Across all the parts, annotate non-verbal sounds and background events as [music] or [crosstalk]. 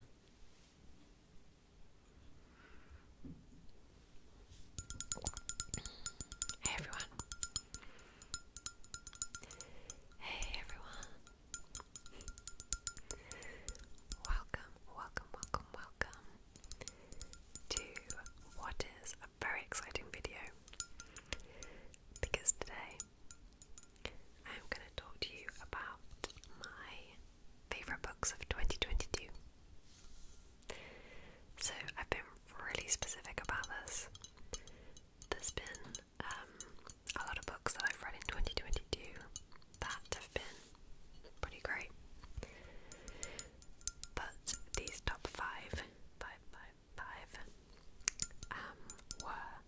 Hey everyone. Hey everyone. Welcome, welcome, welcome, welcome to what is a very exciting video because today I'm going to talk to you about my favourite books of 2022. So, I've been really specific about this. There's been um, a lot of books that I've read in 2022 that have been pretty great. But these top five, five, five, five, um, were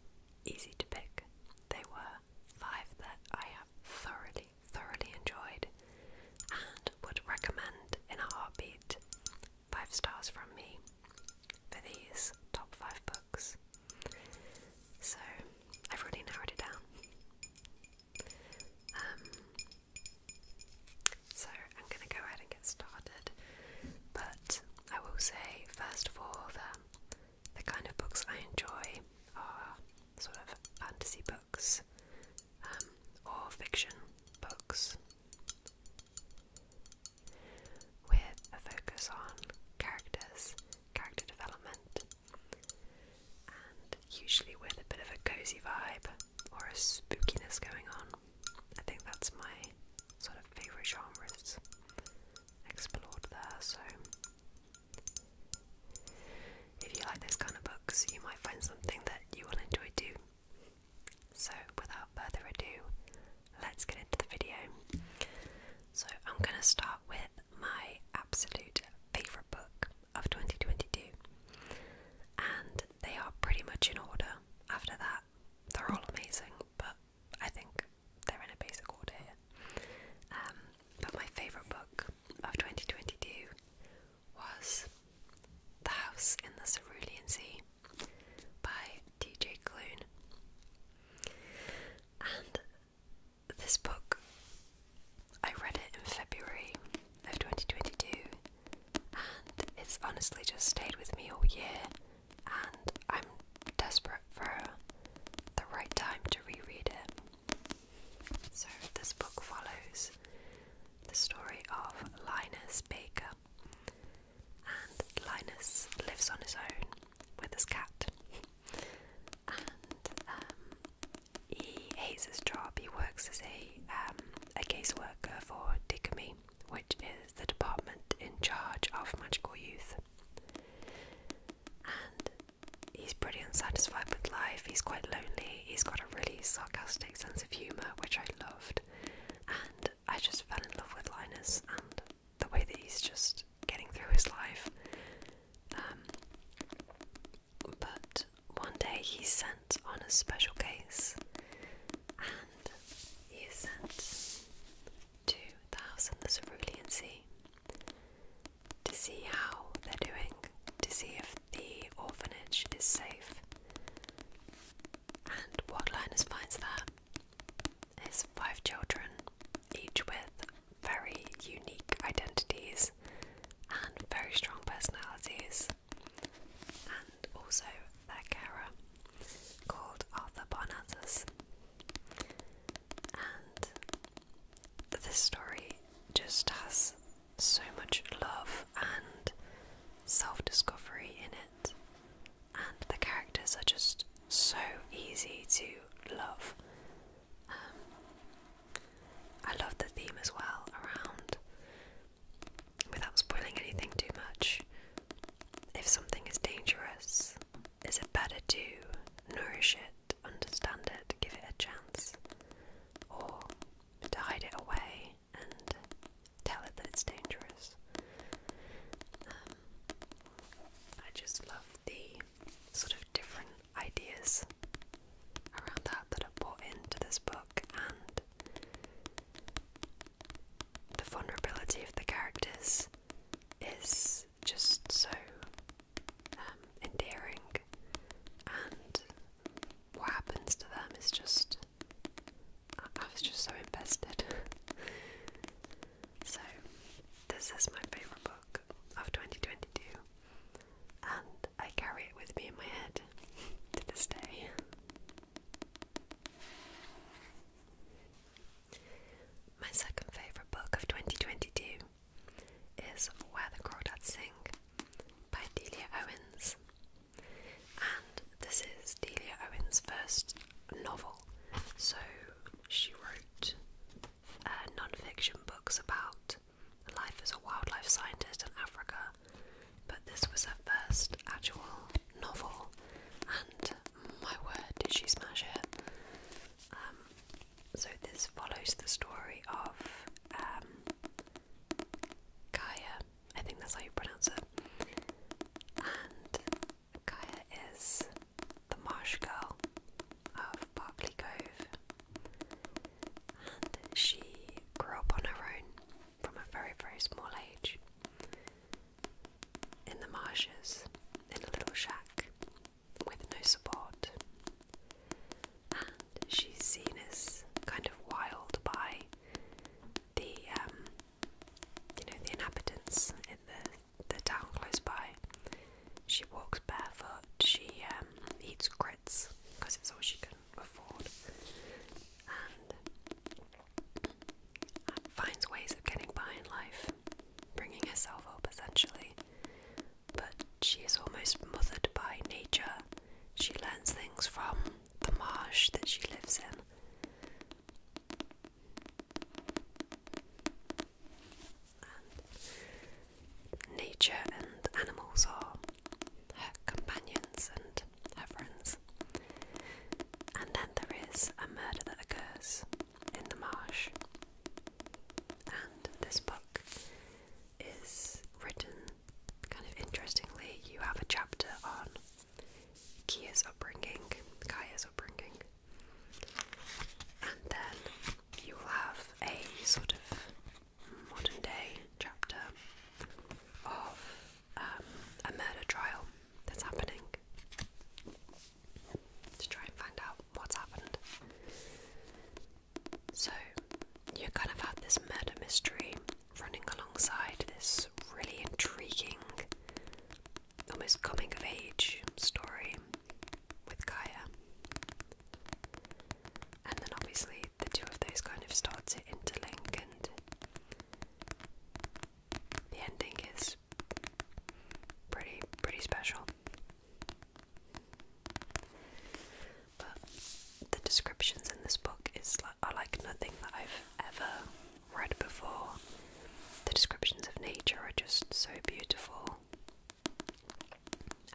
easy to pick. They were five that I have thoroughly, thoroughly enjoyed and would recommend in a heartbeat. Five stars from me for these top five books. So I've already narrowed it down. Um, so I'm going to go ahead and get started, but I will say first of all the kind of books I enjoy are sort of fantasy books um, or fiction books with a focus on characters, character development, and usually with a bit of a cozy vibe or a spookiness going on. I think that's my sort of favourite genres explored there, so if you like those kind of books, you might find something that you will enjoy too. So, without further ado, let's get into the video. So, I'm going to start with my absolute favourite book of 2022, and they are pretty much in order after that. They're all amazing, but I think they're in a basic order here. Um, but my favourite book of 2022 was The House in the Cerulean Sea by D.J. Clune. And this book, I read it in February of 2022, and it's honestly just stayed with me all year and I'm desperate for the right time to reread it. So, this book follows the story of Linus Baker, and Linus lives on his own with his cat. And um, he hates his job. He works as a um, a caseworker for DICME, which is the department in charge of magical youth and he's pretty unsatisfied with life. He's quite lonely. He's got a really sarcastic sense of humour, which I loved. And I just fell in love with Linus and the way that he's just getting through his life. Um, but one day he's sent on a special case, and he sent to the house on the Cerulean Sea to see how they're doing, to see if the orphanage is safe. And what Linus finds there is five children, each with very unique identities and very strong personalities, and also their carer called Arthur Parnassus. And this story just has so much love and self discovery in it, and the characters are just so easy to love. Um, I love the theme as well around, without spoiling anything too much, if something is dangerous, is it better to nourish it, understand it, give it a chance, or to hide it away and tell it that it's dangerous? Um, I just love the sort of different ideas around that that are brought into this book and the vulnerability of the characters is just so um, endearing, and what happens to them is just. I was just so invested. [laughs] so, this is my favourite book of 2022, and I carry it with me in my head [laughs] to this day. My second favourite book of 2022 is Where the Crawdads Sing by Delia Owens. And this is Delia Owens' first novel. So she wrote uh, non fiction books about life as a wildlife scientist in Africa, but this was her first actual novel, and my word, did she smash it? Um, so this follows the story of um, Kaya. I think that's how you pronounce it. And Kaya is the marsh girl of Barclay Cove, and she grew up on her own from a very, very small age in the marshes in a little shack with no support. And she's seen as kind of wild by the um, you know the inhabitants in the the town close by. She walks barefoot. She um, eats grits because it's all she can afford, finds ways of getting by in life, bringing herself up essentially. But she is almost mothered by nature. She learns things from the marsh that she lives in. nature and animals are her companions and her friends. And then there is a murder that occurs in the marsh. And this book is written kind of interestingly. You have a chapter on Kia's upbringing, Kaya's upbringing, and then you will have a sort of modern day chapter of um, a murder trial that's happening to try and find out what's happened. So, you kind of had this murder mystery running alongside this really intriguing, almost coming of age story with Kaya. And then, obviously, the two of those kind of start to interlink and the ending is pretty pretty special. But the descriptions in this book is are like nothing that I've ever read before. The descriptions of nature are just so beautiful.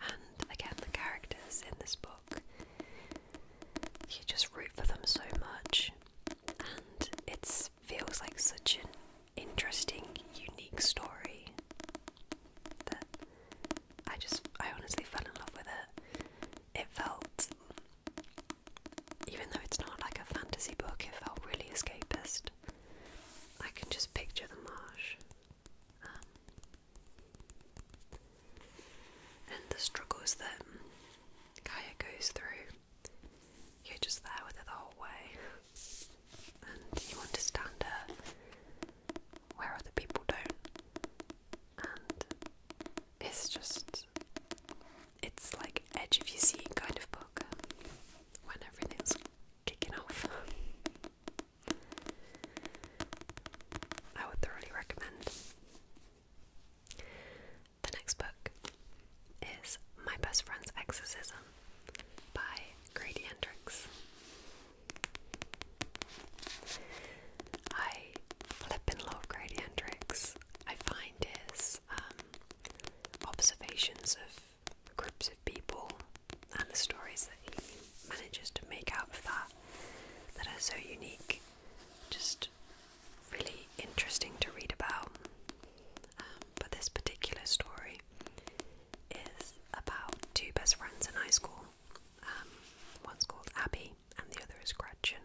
And again, the characters in this book, you just root for them so much. And it's feels like such an interesting, unique story that I just, I honestly fell in love with it. It felt, even though it's not like a fantasy book, it felt really escapist. I can just picture the marsh um, and the struggles that Kaya goes through. You're just there with her the whole way, and you understand her where other people don't. And it's just, it's like edge of your seat kind of book when everything's kicking off. [laughs] I would thoroughly recommend. The next book is My Best Friend's Exorcism by Grady Hendrix. I flippin' love Grady Hendrix. I find his um, observations of groups of people and the stories that he manages to make out of that that are so unique just really interesting to read about. Um, but this particular story is about two best friends in high school. Um, one's called Abby and the other is Gretchen.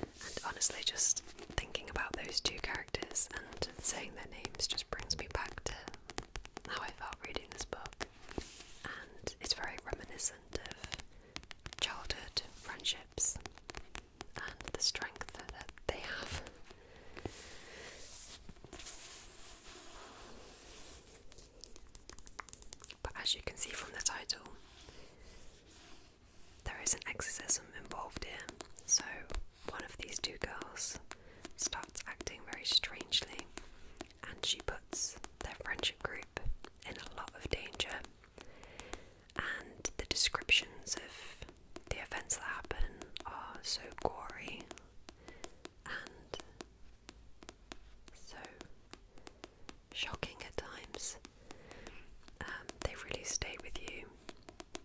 And honestly, just thinking about those two characters and saying their names just brings me back to how I felt reading this book. And it's very reminiscent of childhood friendships and the strength that they have. But as you can see from the title, there is an exorcism involved in. so one of these two girls starts acting very strangely and she puts their friendship group in a lot of danger and the descriptions of the events that happen are so gory and so shocking at times. Um, they really stay with you,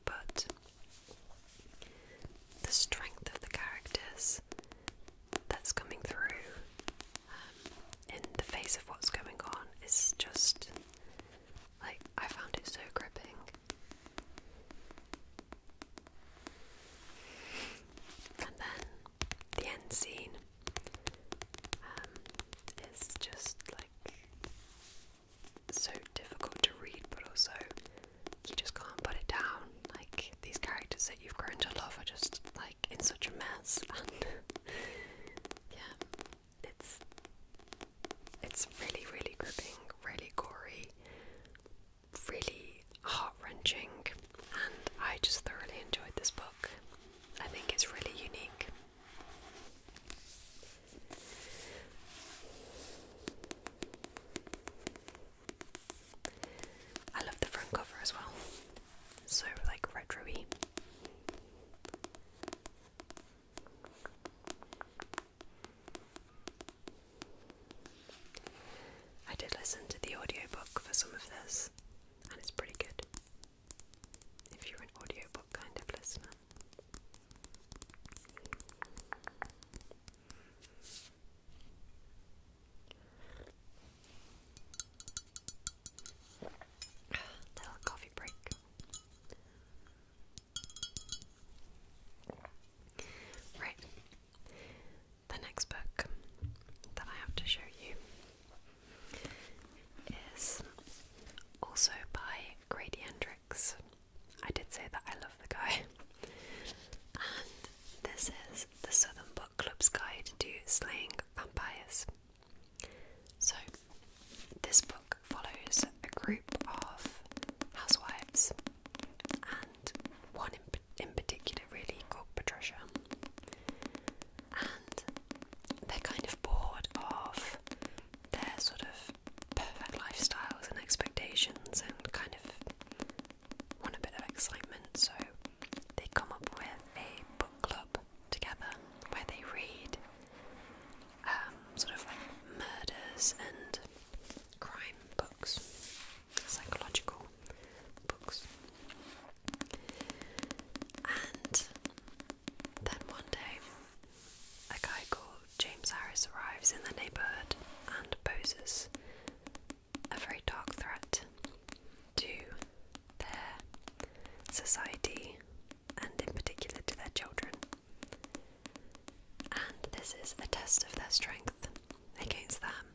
but the strength of the characters that's coming through um, in the face of what's going on is just like I found it so gripping. And then the end scene um, is just like so difficult to read, but also you just can't put it down. Like these characters that you've grown to love are just like in such a mess, [laughs] Yeah, it's it's really, really gripping, really gory, really heart wrenching, and I just thoroughly enjoyed this book. I think it's really unique. I love the front cover as well so like retroy. I did listen to the audio book for some of this, and it's pretty good if you're an audio book kind of listener. [sighs] Little coffee break. Right. The next book that I have to show you is also by Grady Hendrix. I did say that I love the guy. And this is the Southern Book Club's Guide to Slaying Vampires so, this book follows a group of housewives, and one in, in particular, really called Patricia. And they're kind of bored of their sort of perfect lifestyles and expectations and kind of want a bit of excitement, so they come up with a book club together where they read um, sort of murders and crime books, psychological books. And then one day, a guy called James Harris arrives in the neighbourhood and poses a very dark threat to their society and, in particular, to their children. And this is a test of their strength against them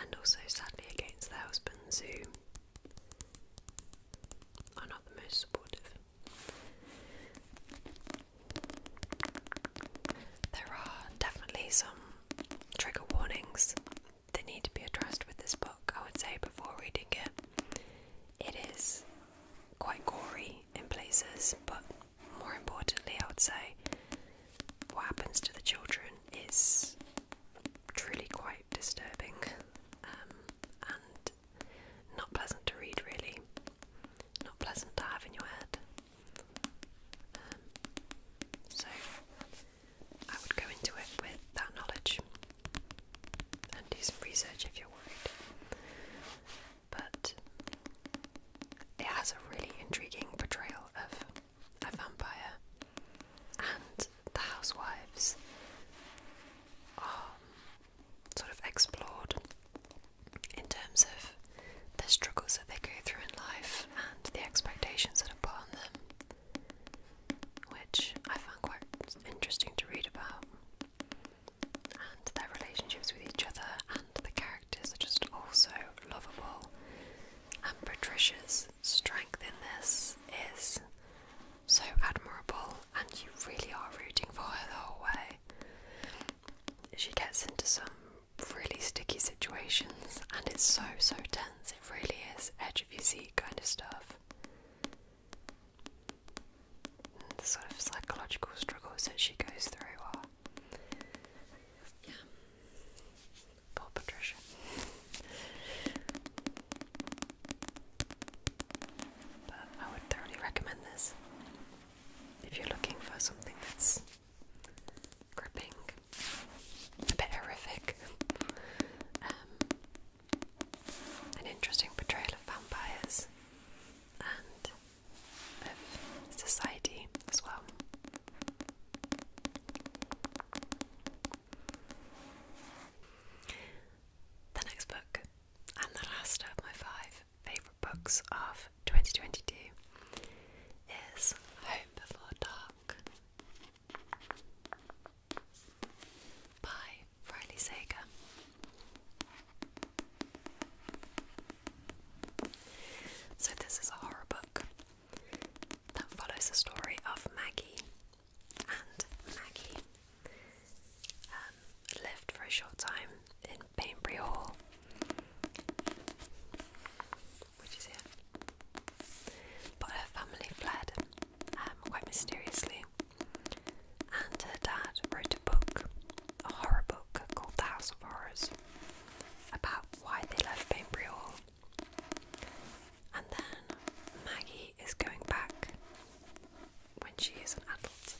and also, sadly, against their husbands who are not the most supportive. There are definitely some trigger warnings they need to be addressed with this book, I would say, before reading it. It is quite gory in places, but more importantly, I would say, what happens to the children is truly quite disturbing um, and not pleasant to read, really. Not pleasant to have in your head. Um, so, I would go into it with that knowledge and do some research if you're worried. But it has a really intriguing portrayal of a vampire, and the housewives are sort of explored in terms of the struggles that they go through in life and the expectations that are put on them which I found quite interesting to read about. And their relationships with each other and the characters are just also lovable. And Patricia's strength in this is so admirable, and you really are rooting for her the whole way. She gets into some really sticky situations, and it's so so tense. It really is edge of your seat kind of stuff. sort of psychological struggles that she goes through Yeah. Poor Patricia. but I would thoroughly recommend this if you're looking for something that's gripping, a bit horrific, um, an interesting portrayal of vampires and of society as well. The next book, and the last of my five favourite books of 2022, is Home Before Dark by Riley Sager. So, this is a horror book that follows the story of Maggie. And Maggie um, lived for a short time in Bainbury Hall which is here. But her family fled um, quite mysteriously, and her dad wrote a book, a horror book called The House of Horrors, about why they left Bainbury And then Maggie is going back when she is an adult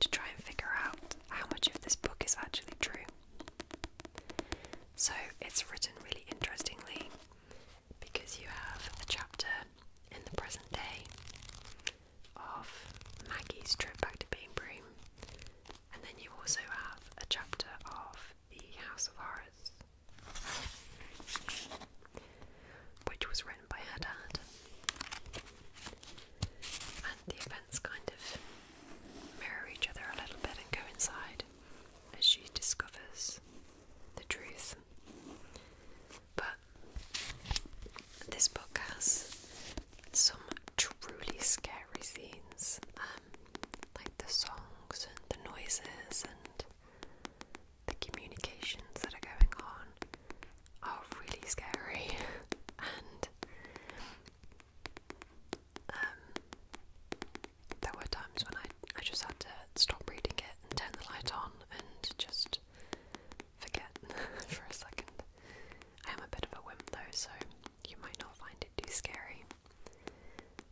to try and figure out how much of this book is actually true. So it's written really interestingly because you have the chapter in the present day of Maggie's trip back to Bean Broom, and then you also have a chapter of the House of Horrors, which was written by her dad. And the events kind of mirror each other a little bit and coincide as she discovers the truth. But this book has some truly scary scenes, um, like the songs and the noises and the communications that are going on are really scary [laughs] and um, there were times when I, I just had to stop reading it turn the light on and just forget [laughs] for a second. I am a bit of a wimp so you might not find it too scary.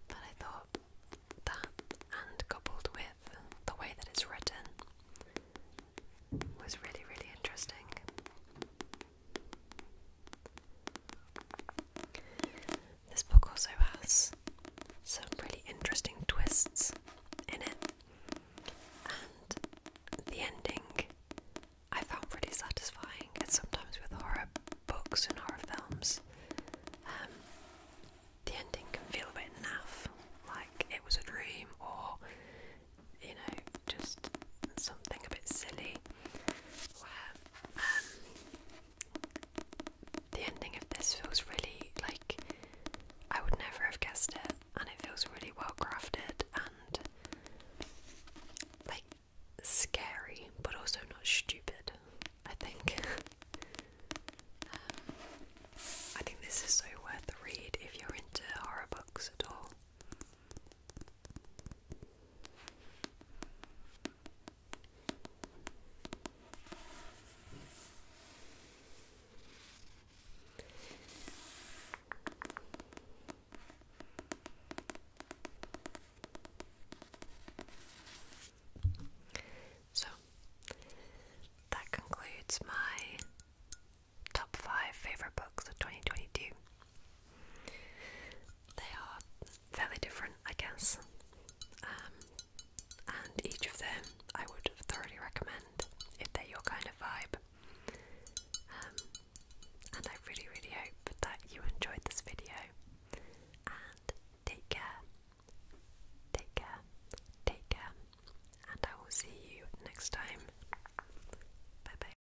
But I thought that, and coupled with the way that it's written, was really, really interesting. This book also has some really interesting twists in it, and the ending I found pretty satisfying. And sometimes with horror books and horror films, um, the ending can feel a bit naff, like it was a dream, or you know, just something a bit silly where um, the ending of this feels really like I would never have guessed it, and it feels really well crafted and like scary, but also not stupid. I think. [laughs] um, I think this is so worth the read if you're into horror books at all. So that concludes my top five favorite books of 2022. They are fairly different, I guess, um, and each of them I would thoroughly recommend if they're your kind of vibe. Um, and I really, really hope that you enjoyed this video. And take care, take care, take care, and I will see you next time. Bye bye.